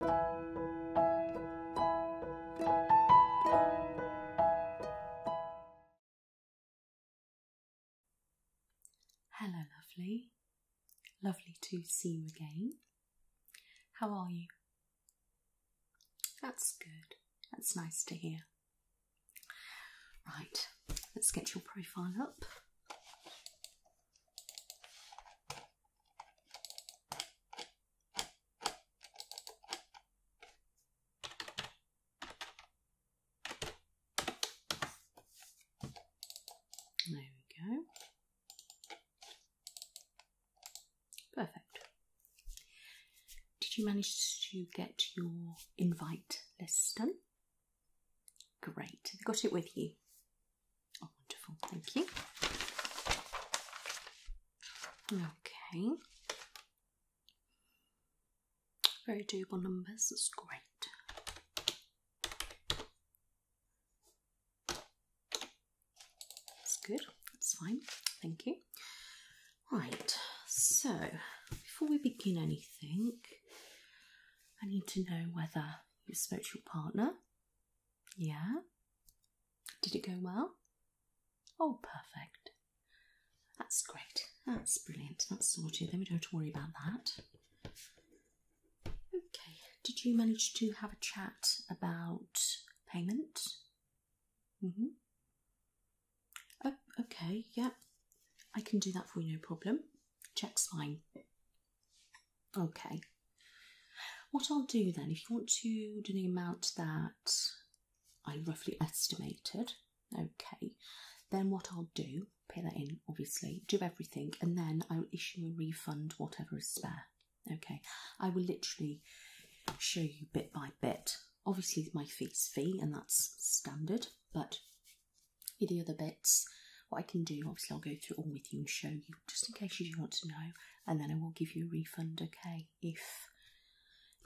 Hello, lovely. Lovely to see you again. How are you? That's good. That's nice to hear. Right, let's get your profile up. There we go. Perfect. Did you manage to get your invite list done? Great. got it with you? Oh, wonderful, thank you. Okay. Very doable numbers, that's great. That's good, that's fine, thank you. Right, so before we begin anything, I need to know whether you spoke to your partner yeah? Did it go well? Oh, perfect. That's great. That's brilliant. That's sorted. Then we don't have to worry about that. Okay. Did you manage to have a chat about payment? Mm-hmm. Oh, okay. Yeah. I can do that for you, no problem. Check's fine. Okay. What I'll do then, if you want to do the amount that I roughly estimated, okay, then what I'll do, pay that in obviously, do everything, and then I will issue a refund, whatever is spare. Okay, I will literally show you bit by bit. Obviously, my fees fee, and that's standard, but the other bits, what I can do, obviously, I'll go through all with you and show you just in case you do want to know, and then I will give you a refund, okay, if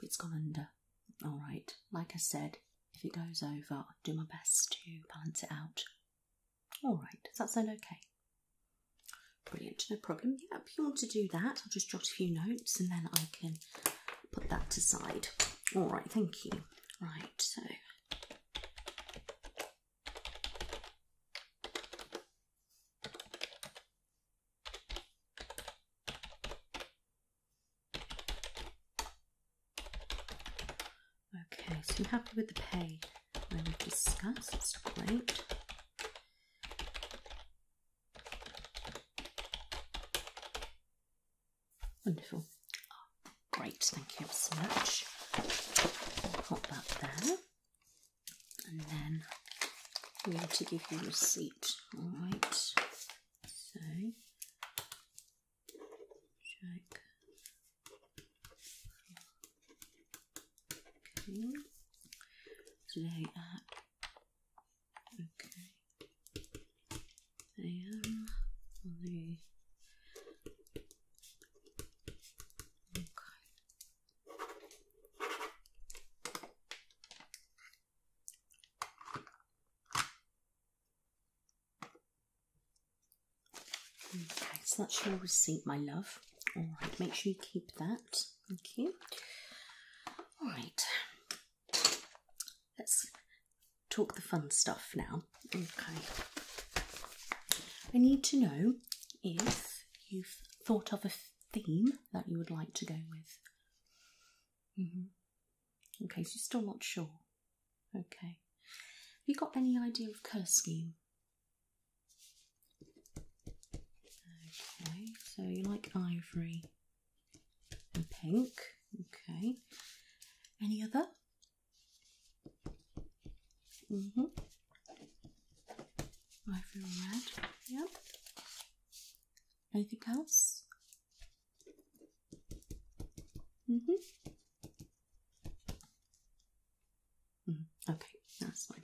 it's gone under. All right, like I said, if it goes over, I'll do my best to balance it out. All right, does that sound okay? Brilliant, no problem. Yeah, if you want to do that, I'll just jot a few notes and then I can put that aside. All right, thank you. Right, so Okay, so happy with the pay when we discussed, it's great. Wonderful. Oh, great, thank you so much. Pop that there and then we need to give you a receipt. All right, so check. Okay, today at okay a.m. on okay Okay, so that's your receipt, my love. Alright, make sure you keep that. Thank you. Alright, let's talk the fun stuff now. Okay, I need to know if you've thought of a theme that you would like to go with. Mm -hmm. Okay, you're still not sure. Okay. Have you got any idea of colour scheme? Okay, so you like ivory and pink. Okay. Any other? Mm hmm. I feel red. Yep. Anything else? Mm hmm. okay, that's fine.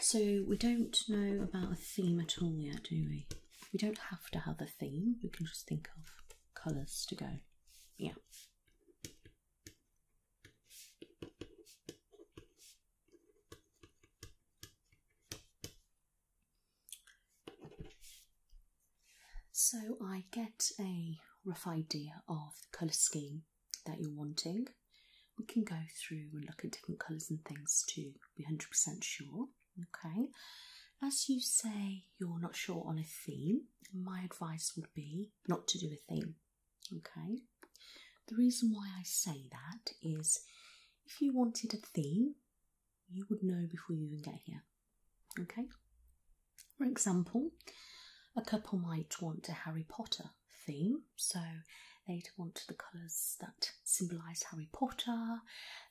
So we don't know about a theme at all yet, do we? We don't have to have a theme, we can just think of colours to go. Yeah. So I get a rough idea of the colour scheme that you're wanting. We can go through and look at different colours and things to be 100% sure. Okay. As you say you're not sure on a theme, my advice would be not to do a theme. Okay. The reason why I say that is if you wanted a theme, you would know before you even get here. Okay? For example, a couple might want a Harry Potter theme, so they'd want the colours that symbolise Harry Potter,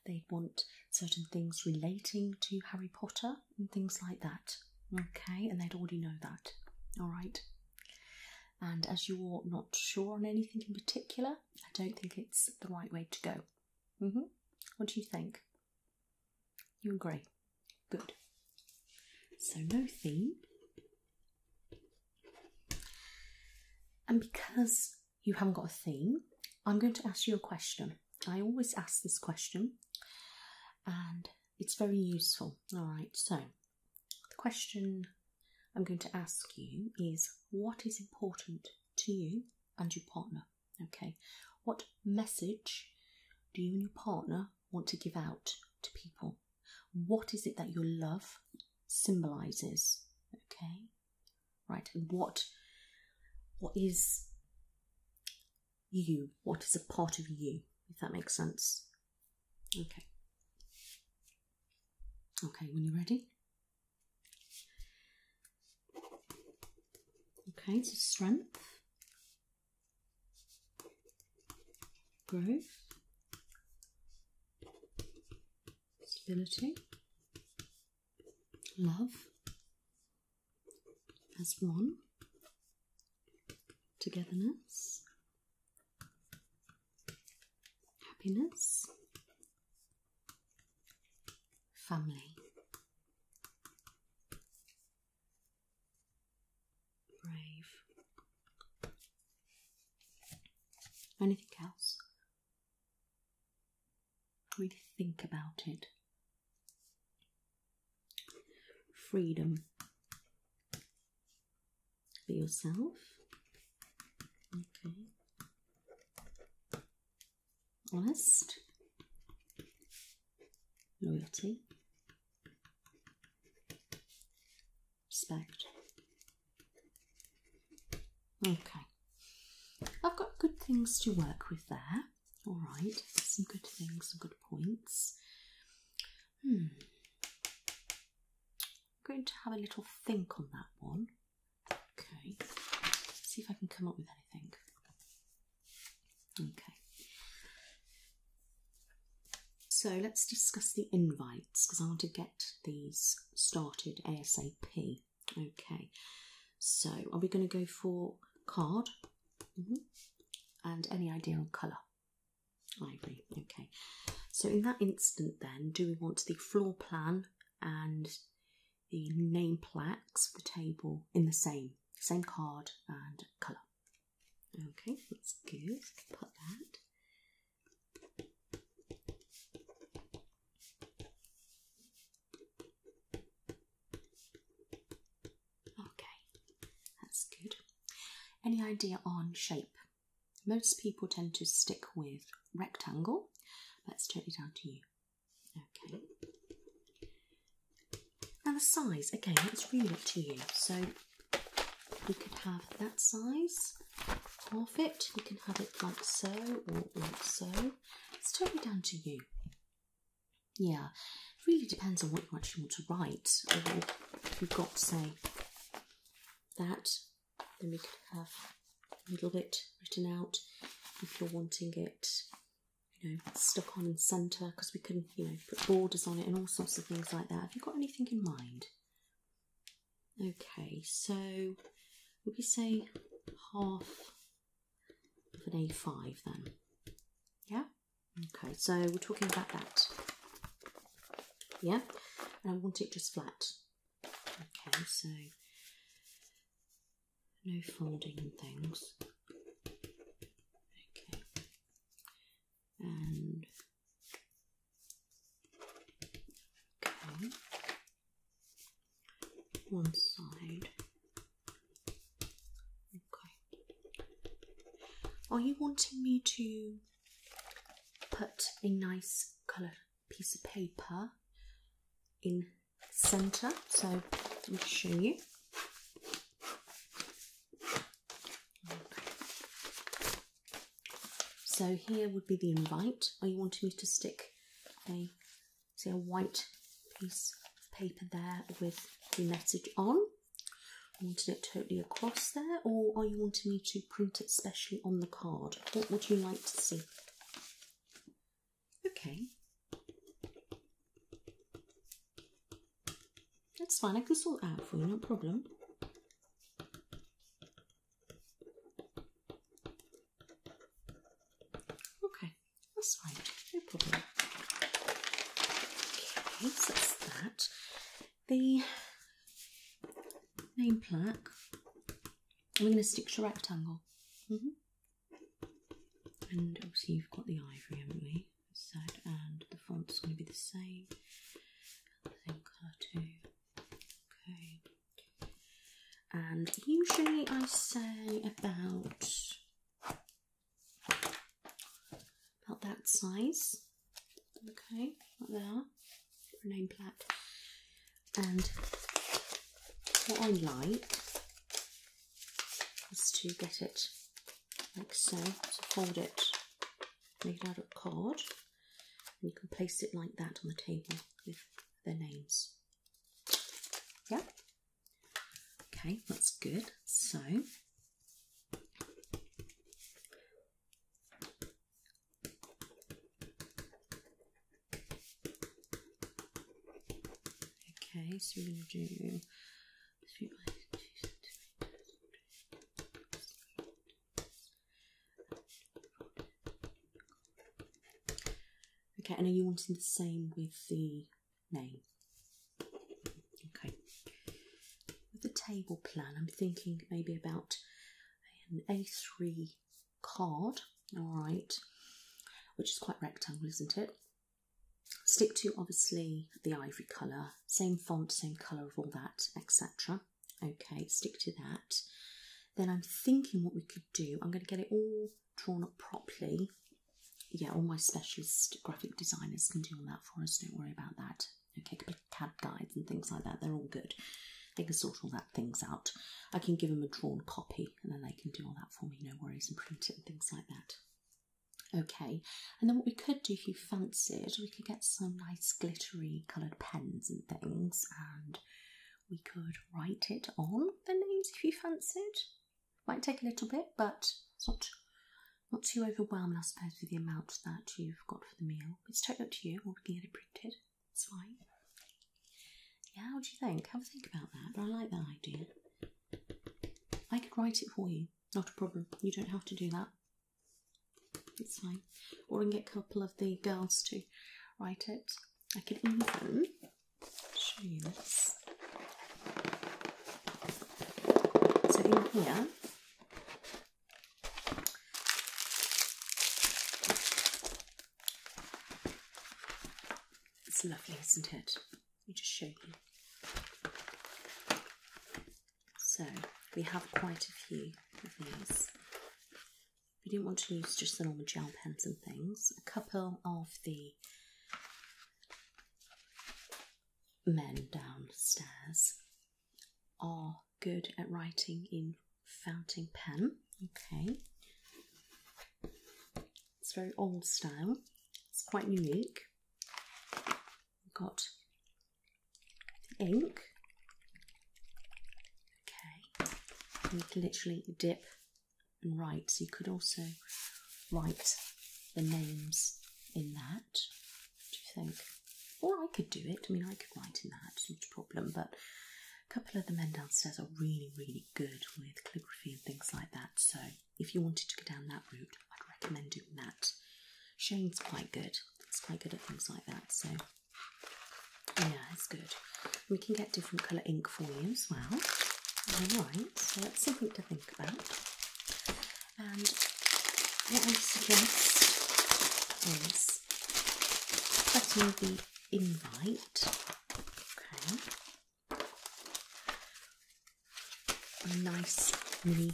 they'd want certain things relating to Harry Potter and things like that. Okay, and they'd already know that. All right. And as you're not sure on anything in particular, I don't think it's the right way to go. -hmm. What do you think? You agree? Good. So, no theme. And because you haven't got a theme, I'm going to ask you a question. I always ask this question and it's very useful. Alright, so the question I'm going to ask you is what is important to you and your partner? Okay, what message do you and your partner want to give out to people? What is it that your love symbolizes? Okay, right? And what what is you? What is a part of you? If that makes sense. Okay. Okay, when you're ready. Okay, so strength, growth, stability, love as one, togetherness, happiness, family. Brave. Anything else? Really think about it. Freedom for yourself. Okay. Honest. Loyalty. Respect. Okay, I've got good things to work with there. All right, some good things, some good points. Hmm. I'm going to have a little think on that one. Okay, see if I can come up with anything. Okay. So let's discuss the invites because I want to get these started ASAP. Okay, so are we going to go for card mm-hmm. and any idea on colour? Ivory. Okay, so in that instant, then, do we want the floor plan and the name plaques for the table in the same same card and colour? Okay, that's good. Put that. Okay, that's good. Any idea on shape? Most people tend to stick with rectangle, Let's it's it down to you. Okay. Now the size, again, let's read it to you. So we could have that size half it. You can have it like so or like so. It's totally down to you. Yeah, it really depends on what you actually want to write. if you've got, to say, that, then we could have a little bit written out if you're wanting it, you know, stuck on in centre because we can, you know, put borders on it and all sorts of things like that. Have you got anything in mind? Okay, so would we say half of an A5 then? Yeah? Okay, so we're talking about that. Yeah? And I want it just flat. Okay, so no folding things. Okay. And okay one side. Okay. Are you wanting me to put a nice colour piece of paper in centre? So let me show you. Okay. So here would be the invite. Are you wanting me to stick a see a white piece of paper there with the message on? I wanted it totally across there, or are you wanting me to print it specially on the card? What would you like to see? Okay. That's fine, I can sort out for you, no problem. Okay, that's fine, no problem. Okay, so that's that. The name plaque, we're going to stick to rectangle. -hmm. And obviously, you've got the ivory, haven't we? Side and the font's going to be the same. Same colour too. Okay and usually I say about about that size. Okay, right there, for And what I like is to get it like so, so fold it, make it out of card. And you can place it like that on the table with their names. Yeah? Okay, that's good. So, okay, so we're going to do Okay, and are you wanting the same with the name? Okay. With the table plan, I'm thinking maybe about an A3 card, alright, which is quite rectangle, isn't it? Stick to obviously the ivory colour, same font, same colour of all that, etc. Okay, stick to that. Then I'm thinking what we could do. I'm going to get it all drawn up properly. Yeah, all my specialist graphic designers can do all that for us. Don't worry about that. Okay, CAD guides and things like that. They're all good. They can sort all that things out. I can give them a drawn copy and then they can do all that for me. No worries and print it and things like that. Okay, and then what we could do if you fancied, we could get some nice glittery coloured pens and things and we could write it on the names if you fancied. Might take a little bit, but it's not not too overwhelming, I suppose, with the amount that you've got for the meal. It's totally up to you, or we can get it printed. It's fine. Yeah, what do you think? Have a think about that, but I like that idea. I could write it for you, not a problem. You don't have to do that. It's fine. Or I can get a couple of the girls to write it. I can even show you this. So in here, it's lovely, isn't it? Let me just show you. So we have quite a few of these. If you didn't want to use just the normal gel pens and things, a couple of the men downstairs are good at writing in fountain pen. Okay. It's very old style. It's quite unique. We've got ink. Okay, you can literally dip and write. So you could also write the names in that. Do you think? Or I could do it. I mean, I could write in that, not a problem. But a couple of the men downstairs are really, really good with calligraphy and things like that. So if you wanted to go down that route, I'd recommend doing that. Shane's quite good. He's quite good at things like that. So yeah, it's good. We can get different colour ink for you as well. Alright, so that's something to think about. And what I suggest is cutting the invite. Okay. A nice mini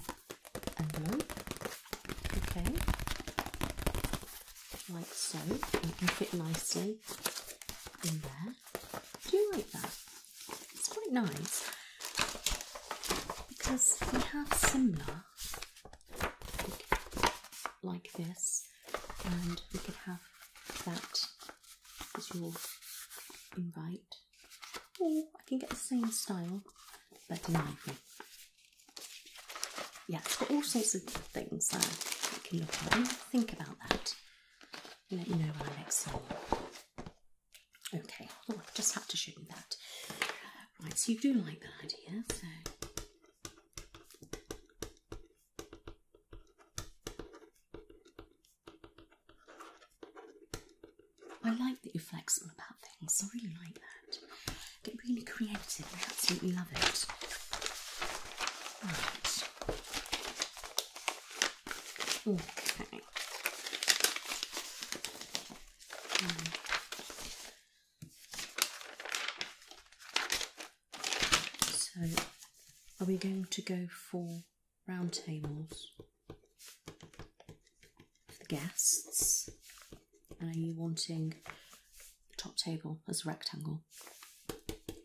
envelope okay, like so, and can fit nicely in there. Do you like that? It's quite nice because we have similar like this, and we could have that as your invite, or I can get the same style but in ivory. Yeah, it's got all sorts of things there you can look at. And think about that. Let me know when I next time. Okay, well, oh, I just had to show you that. Right, so you do like that idea, so. I like that you're flexible about things. I really like that. Get really creative. I absolutely love it. Right. Okay. So, are we going to go for round tables for the guests? are you wanting top table as a rectangle.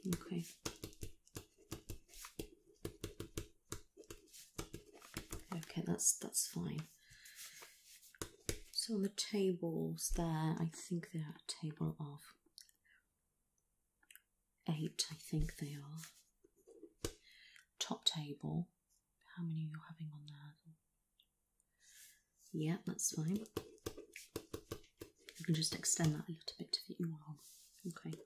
Okay. Okay, that's that's fine. So on the tables there, I think they're a table of eight, I think they are. Top table. How many you are having on there? Yeah, that's fine. You can just extend that a little bit if you want. Okay.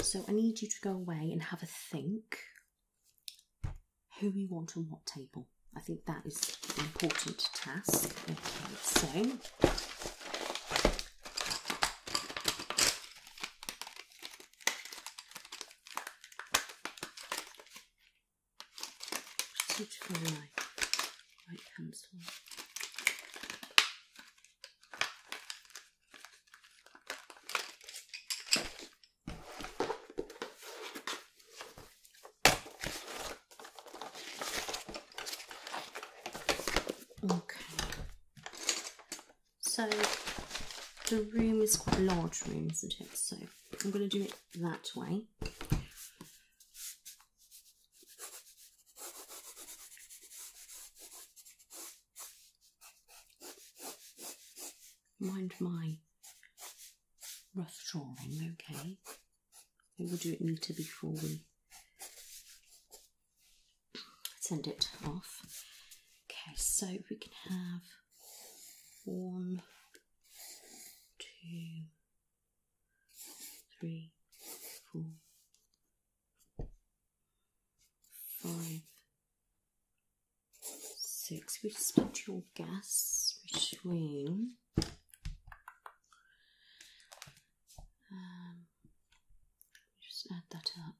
So I need you to go away and have a think who you want on what table. I think that is an important task. so just for my white pencil. Okay, so the room is quite large room, isn't it? So I'm going to do it that way. Mind my rough drawing, okay. I will do it neater before we send it off. Okay, so we can have one, two, three, four, five, six. We split your gas between. Um, just add that up.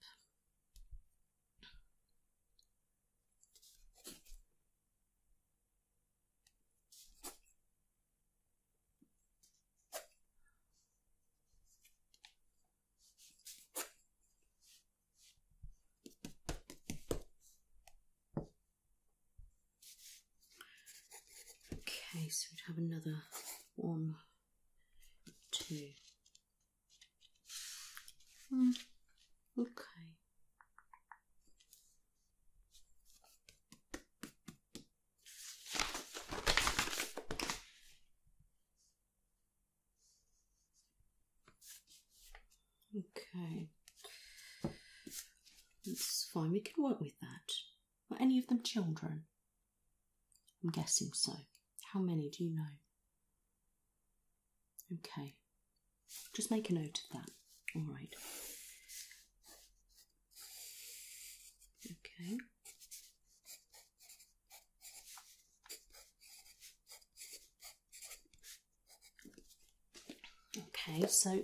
Okay, so we'd have another one two. Hmm. okay. Okay. That's fine, we can work with that. Are any of them children? I'm guessing so. How many do you know? Okay. Just make a note of that. All right. Okay. Okay, so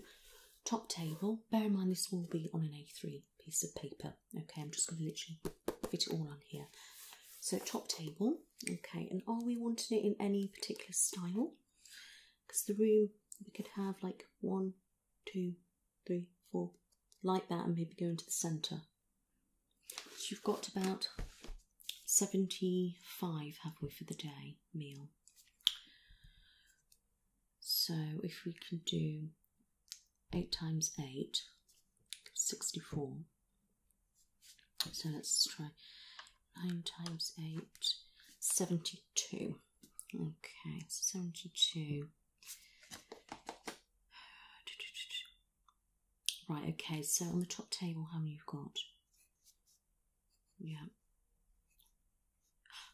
top table, bear in mind this will be on an A3 piece of paper. Okay, I'm just going to literally fit it all on here. So top table, okay, and are we wanting it in any particular style? Because the room, we could have like one, two, three, four, like that, and maybe go into the centre. So you've got about 75, have we, for the day meal? So if we can do 8 times 8, 64. So let's try 9 times 8, 72. Okay, 72. Right, okay, so on the top table, how many you've got? Yeah.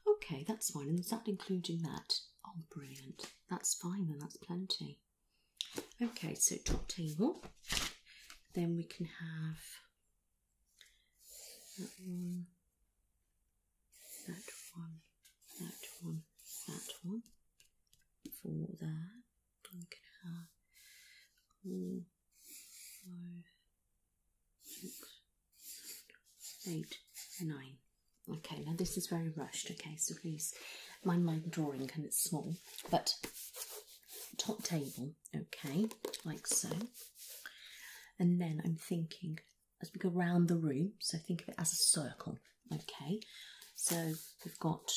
Okay, that's fine. And is that including that? Oh, brilliant that's fine and that's plenty. Okay, so top table. Then we can have that one, that one, that one, that one. Four there. Then we can have four, five, six, eight, nine. Okay, now this is very rushed, okay, so please mind my drawing can it's small, but top table, okay, like so. And then I'm thinking as we go round the room, so think of it as a circle, okay. So we've got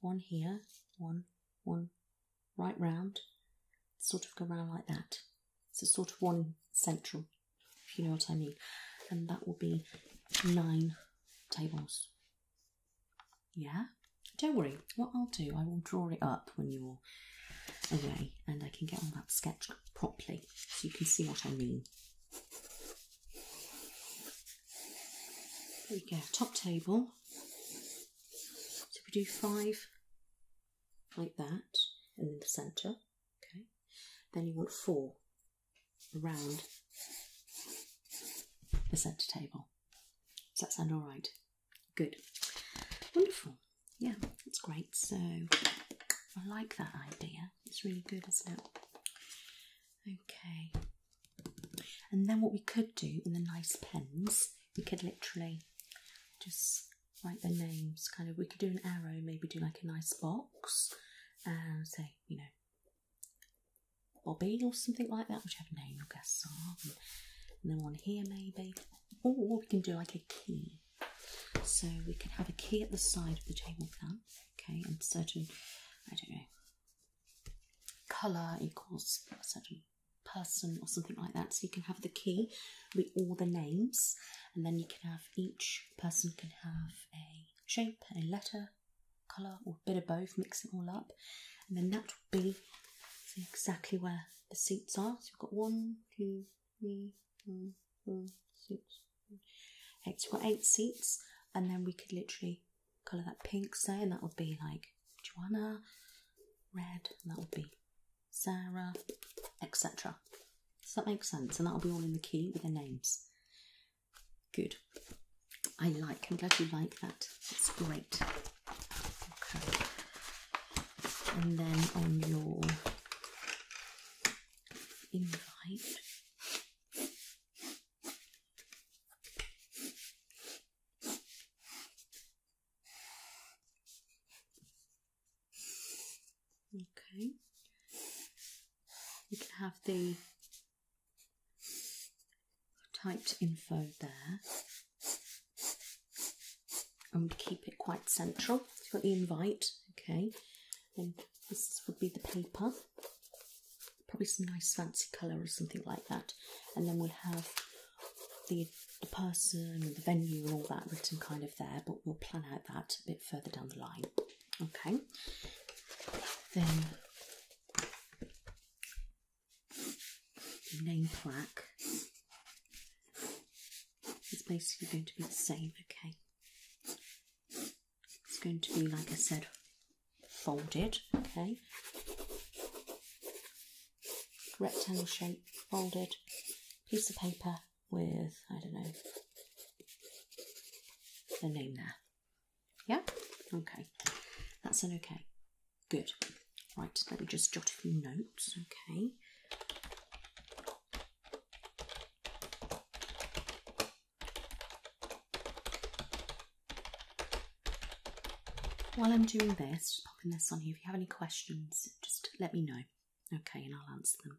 one here, one, one, right round, sort of go round like that. So sort of one central if you know what I mean. And that will be nine tables. Yeah? Don't worry, what I'll do, I will draw it up when you're away and I can get on that sketch properly so you can see what I mean. There we go, top table. So we do five like that, and then the centre, okay. Then you want four around the centre table. Does that sound all right? Good. Wonderful. Yeah, it's great. So I like that idea. It's really good, isn't it? Okay. And then what we could do in the nice pens, we could literally just write the names. Kind of, we could do an arrow, maybe do like a nice box and uh, say you know, Bobby or something like that, whichever name your guests are. And, and then one here maybe. Or we can do like a key. So we can have a key at the side of the table plan, okay, and certain, I don't know, colour equals a certain person or something like that. So you can have the key with all the names, and then you can have each person can have a shape, a letter, colour, or a bit of both, mix them all up, and then that will be exactly where the seats are. So you have got one, two, three, four, four, six, eight. So we've got eight seats, and then we could literally colour that pink, say, and that would be like Joanna, red, that would be Sarah, etc. Does that make sense? And that'll be all in the key with their names. Good. I like, I'm glad you like that. It's great. Okay. And then on your invite. Okay. You can have the typed info there. And keep it quite central. You've got the invite, okay. And this would be the paper. Probably some nice fancy colour or something like that. And then we'll have the, the person, the venue and all that written kind of there, but we'll plan out that a bit further down the line. Okay. Then name plaque is basically going to be the same, okay. It's going to be, like I said, folded, okay. Rectangle shape, folded, piece of paper, with, I don't know, the name there. Yeah? Okay. That's an okay. Good. Right, let me just jot a few notes, okay? While I'm doing this, just popping this on here, if you have any questions, just let me know. Okay, and I'll answer them.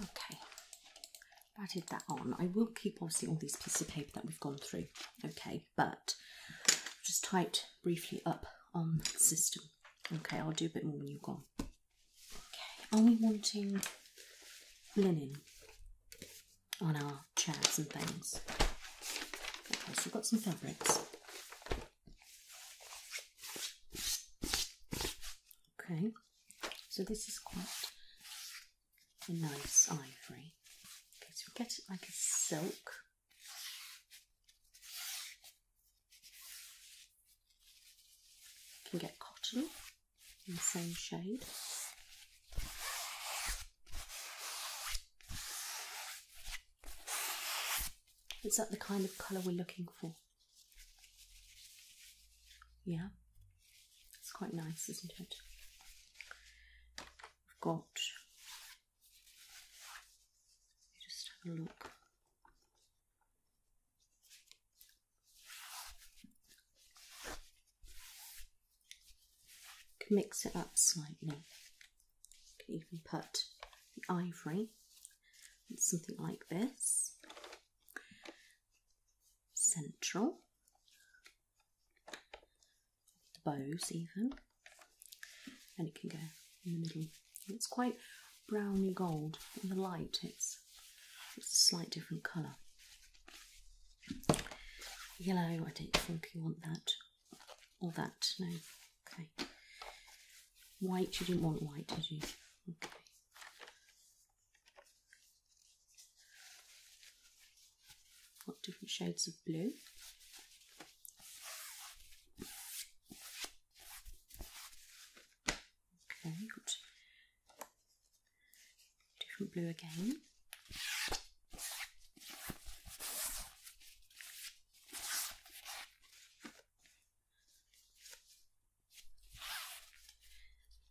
Okay, added that on. I will keep obviously all these pieces of paper that we've gone through, okay, but just typed briefly up on system. Okay, I'll do a bit more when you're gone. Okay, are we wanting linen on our our chairs and things. Okay, so we've got some fabrics. Okay, so this is quite a nice ivory. Okay, so we get it like a silk. You can get cotton in the same shade. Is that the kind of colour we're looking for? Yeah, it's quite nice, isn't it? We've got. Just have a look mix it up slightly. can even put the ivory in something like this. Central. The bows even. And it can go in the middle. It's quite browny gold. In the light it's it's a slight different colour. Yellow, I don't think you want that. Or that, no. Okay. White, you didn't want white, did you? Okay. Got different shades of blue. Okay, got different blue again.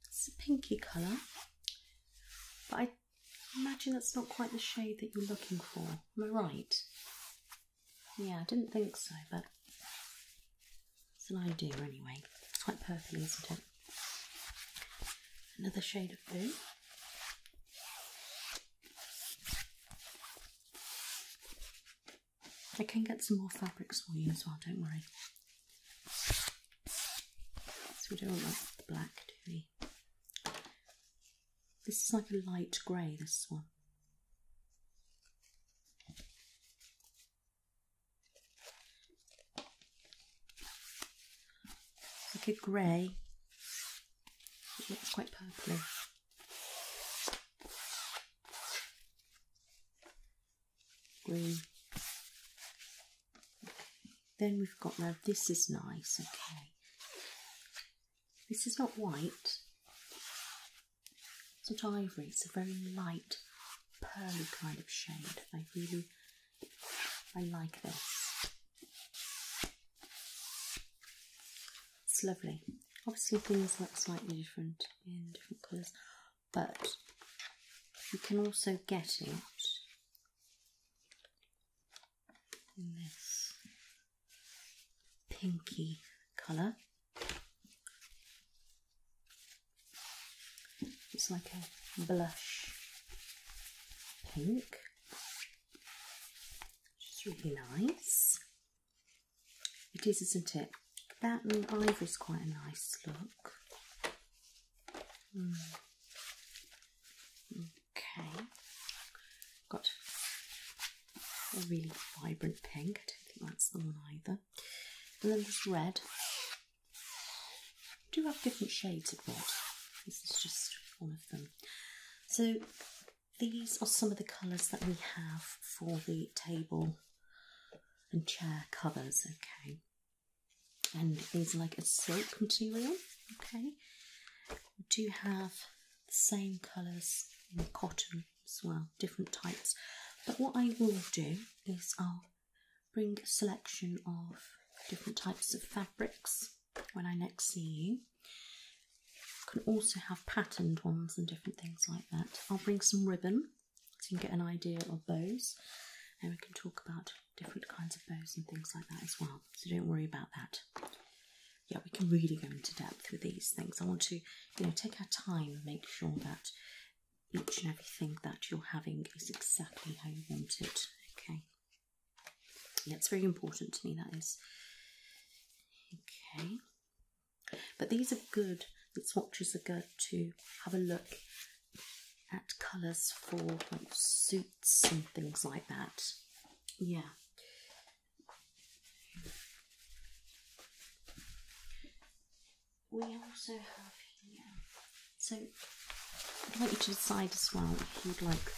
It's a pinky colour, but I imagine that's not quite the shade that you're looking for. Am I right? Yeah, I didn't think so, but it's an idea anyway. It's quite purpley, isn't it? Another shade of blue. I can get some more fabrics for you as well, don't worry. So we don't like the black, do we? This is like a light grey, this one like a grey. It looks quite purpley. Green. Then we've got now this is nice, okay. This is not white. It's not ivory, it's a very light pearly kind of shade. I really I like this. It's lovely. Obviously, things look slightly different in different colours, but you can also get it in this pinky colour. It's like a blush pink, which is really nice. It is, isn't it? That and ivory is quite a nice look. Hmm. Okay, got a really vibrant pink. I don't think that's the one either. And then this red, do have different shades of red. This is just one of them. So these are some of the colours that we have for the table and chair covers, okay. And these are like a silk material, okay. We do have the same colours in cotton as well, different types. But what I will do is I'll bring a selection of different types of fabrics when I next see you. Can also have patterned ones and different things like that. I'll bring some ribbon so you can get an idea of bows, and we can talk about different kinds of bows and things like that as well. So don't worry about that. Yeah, we can really go into depth with these things. I want to, you know, take our time and make sure that each and everything that you're having is exactly how you want it. Okay. That's very important to me, that is. Okay. But these are good, the swatches are good to have a look at colours for suits and things like that. Yeah. We also have here so I'd like you to decide as well if you'd like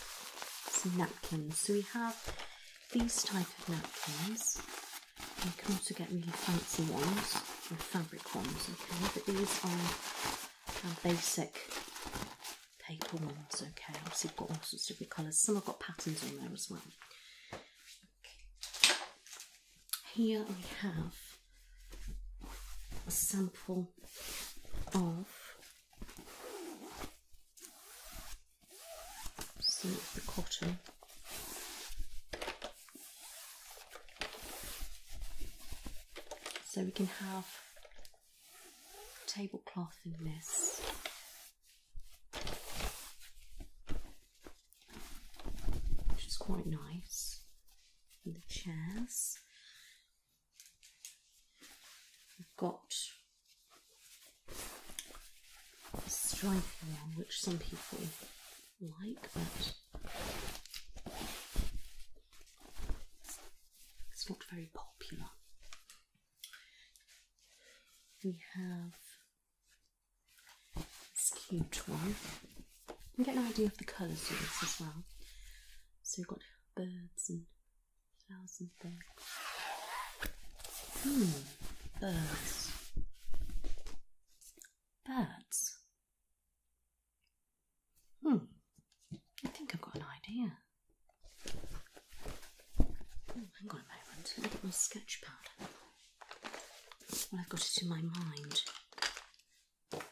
some napkins. So we have these type of napkins. You can also get really fancy ones, or fabric ones, okay? But these are basic paper ones, okay? Obviously, you've got all sorts of different colours. Some have got patterns on there as well. Here we have a sample of some the cotton so we can have tablecloth in this which is quite nice and the chairs. we have got a stripe one, which some people like, but it's not very popular. We have this cute one and get an idea of the colours to this as well. So we've got birds and flowers and things. Hmm, birds. Birds. Hmm, I think I've got an idea. Oh, hang on a moment, let me my sketch pad. Well, I've got it in my mind.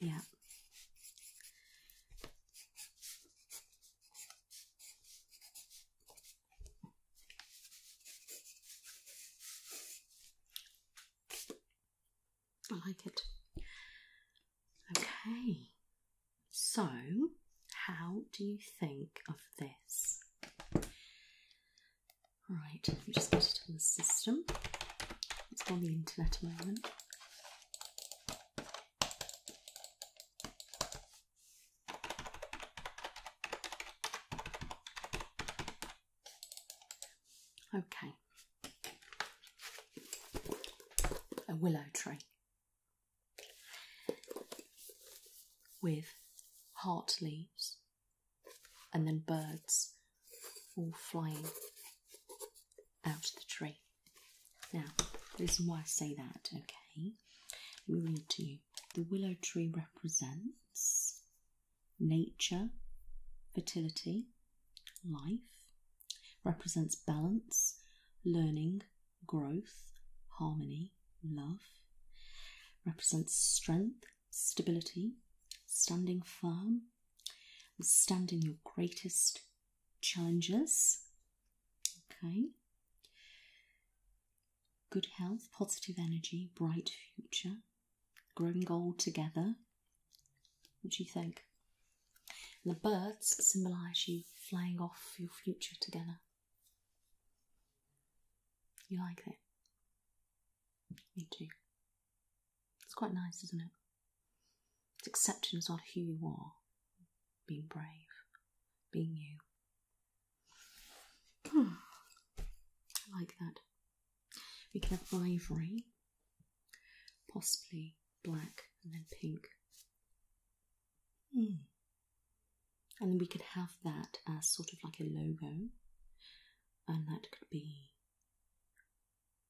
Yeah. I like it. Okay. So, how do you think of this? Right, we just get it in the system. It's on the internet a moment. Okay. A willow tree with heart leaves and then birds all flying out of the tree. Now, the reason why I say that, okay, we read to you. The willow tree represents nature, fertility, life, represents balance, learning, growth, harmony, love, represents strength, stability, standing firm, standing your greatest challenges. Okay. Good health, positive energy, bright future, growing old together. What do you think? the birds symbolise you flying off your future together. You like it? Me too. It's quite nice, isn't it? It's accepting as well who you are, being brave, being you. Hmm. I like that. We could have ivory, possibly black, and then pink. Hmm. And then we could have that as sort of like a logo, and that could be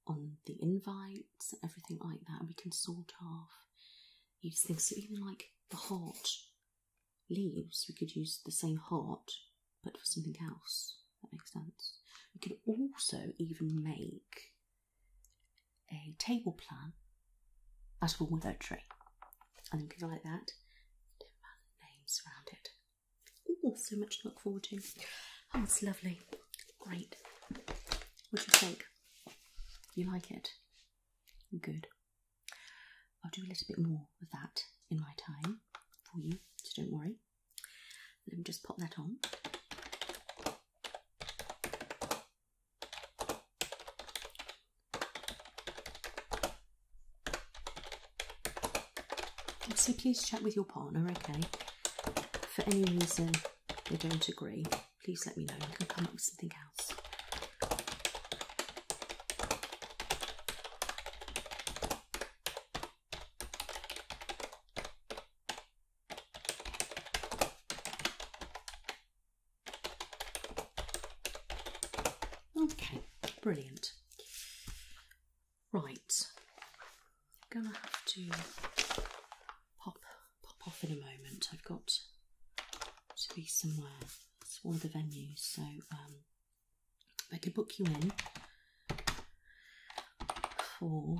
on the invites, everything like that, we can sort of use things. So even like the heart leaves, we could use the same heart but for something else. That makes sense. We could also even make a table plan as well with a tree. And then we could like that. names around it. Oh, so much to look forward to. Oh, it's lovely. Great. What do you think? You like it? Good. I'll do a little bit more of that in my time for you, so don't worry. Let me just pop that on. So please chat with your partner, okay? For any reason they don't agree, please let me know. We can come up with something else. Okay, brilliant. Right, I'm going to have to pop, pop off in a moment. I've got to be somewhere. It's one of the venues, so um, I could book you in for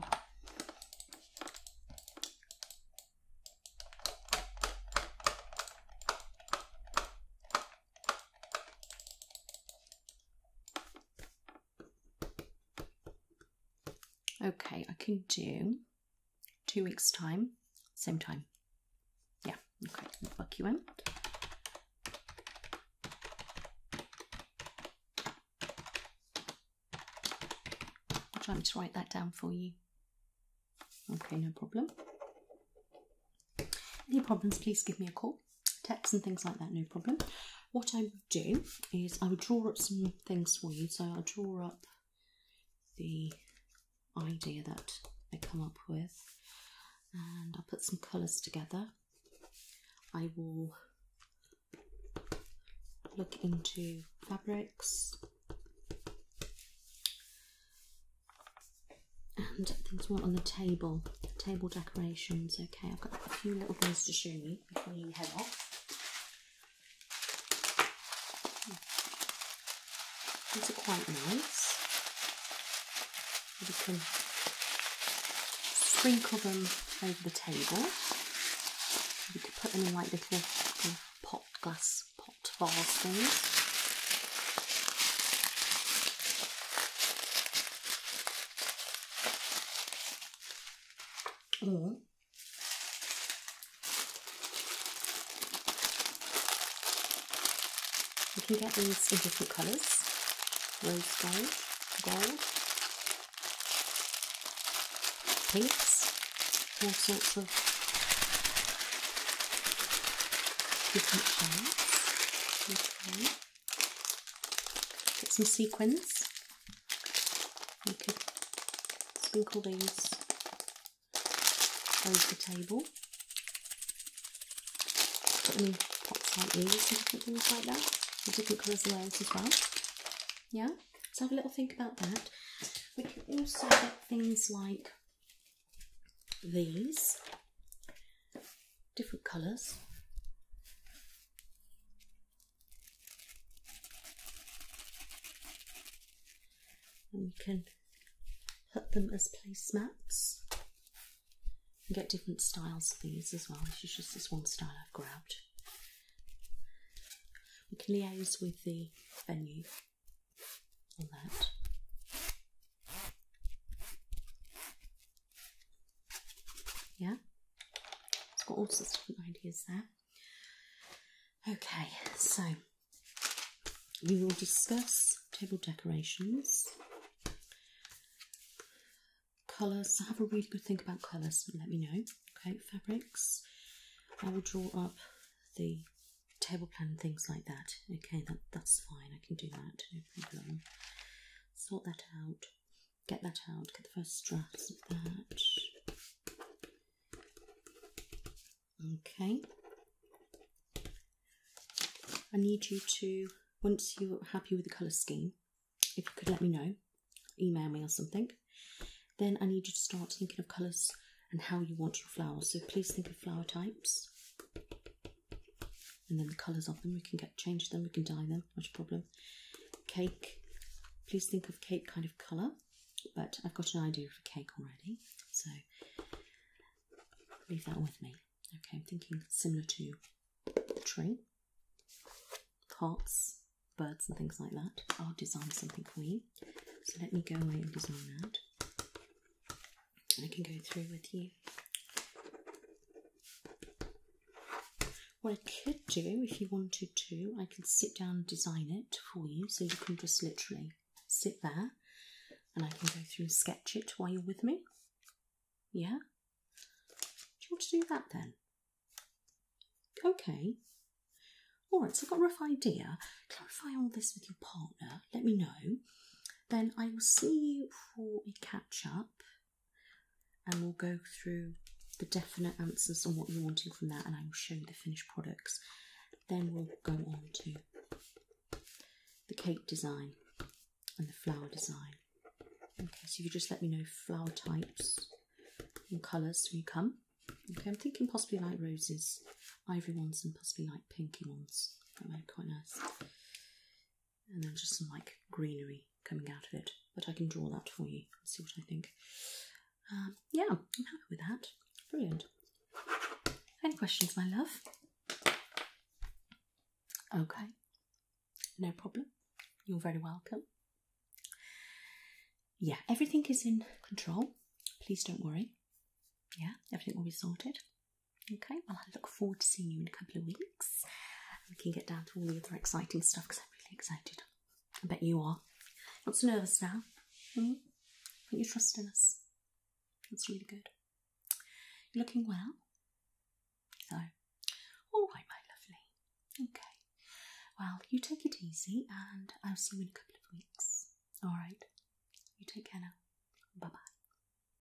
Okay, I can do two weeks' time, same time. Yeah, okay, book you in. I'll try to write that down for you. Okay, no problem. Any problems, please give me a call people, texts and things like that, no problem. What I would do is I would draw up some things for you. So I'll draw up the idea that I come up with and I'll put some colours together. I will look into fabrics and things more on the table, table decorations okay. I've got a few little things to show you before you head off. These are quite nice. You can sprinkle them over the table. You could put them in like little, pot glass pot vase things you can get these in different colours rose gold, gold, pinks, all sorts of different shades. Get some sequins. You could sprinkle these over the table. Put them in pots like these things like that. different colours of those as well. Yeah? Let's have a little think about that. We can also get things like these different colours. And we can put them as placemats get different styles of these as well. This is just this one style I've grabbed. We can liaise with the venue on that. Yeah, it's got all sorts of different ideas there. Okay, so we will discuss table decorations, colours. Have a really good think about colours let me know. Okay, fabrics. I will draw up the table plan and things like that. Okay, that, that's fine. I can do that sort that out, get that out, get the first straps of that. Okay. I need you to, once you're happy with the colour scheme, if you could let me know, email me or something, then I need you to start thinking of colours and how you want your flowers. So please think of flower types and then the colours of them. We can get change them, we can dye them, not a problem. Cake, please think of cake kind of colour, but I've got an idea for cake already, so leave that with me. Okay, I'm thinking similar to tree, hearts, birds, and things like that. I'll design something for you. So let me go away and design that. I can go through with you. What I could do, if you wanted to, I can sit down and design it for you so you can just literally sit there and I can go through and sketch it while you're with me. Yeah? Do you want to do that then? Okay. Alright, so I've got a rough idea. Clarify all this with your partner. Let me know then I will see you for a catch up and we'll go through the definite answers on what you're wanting from that and I will show you the finished products. Then we'll go on to the cake design and the flower design. Okay, so you just let me know flower types and colours when you come. Okay, I'm thinking possibly like roses, ivory ones and possibly like pinky ones. That might be quite nice and then just some like greenery coming out of it. But I can draw that for you and see what I think. Um, yeah, I'm happy with that. Brilliant. Any questions, my love? Okay, no problem. You're very welcome. Yeah, everything is in control. Please don't worry. Yeah, everything will be sorted. Okay, well, I look forward to seeing you in a couple of weeks. We can get down to all the other exciting stuff because I'm really excited. I bet you are. Not so nervous now. Hmm? you trust in us. That's really good. You're looking well. So, all right, my lovely. Okay. Well, you take it easy and I'll see you in a couple of weeks. All right. You take care now. Bye bye.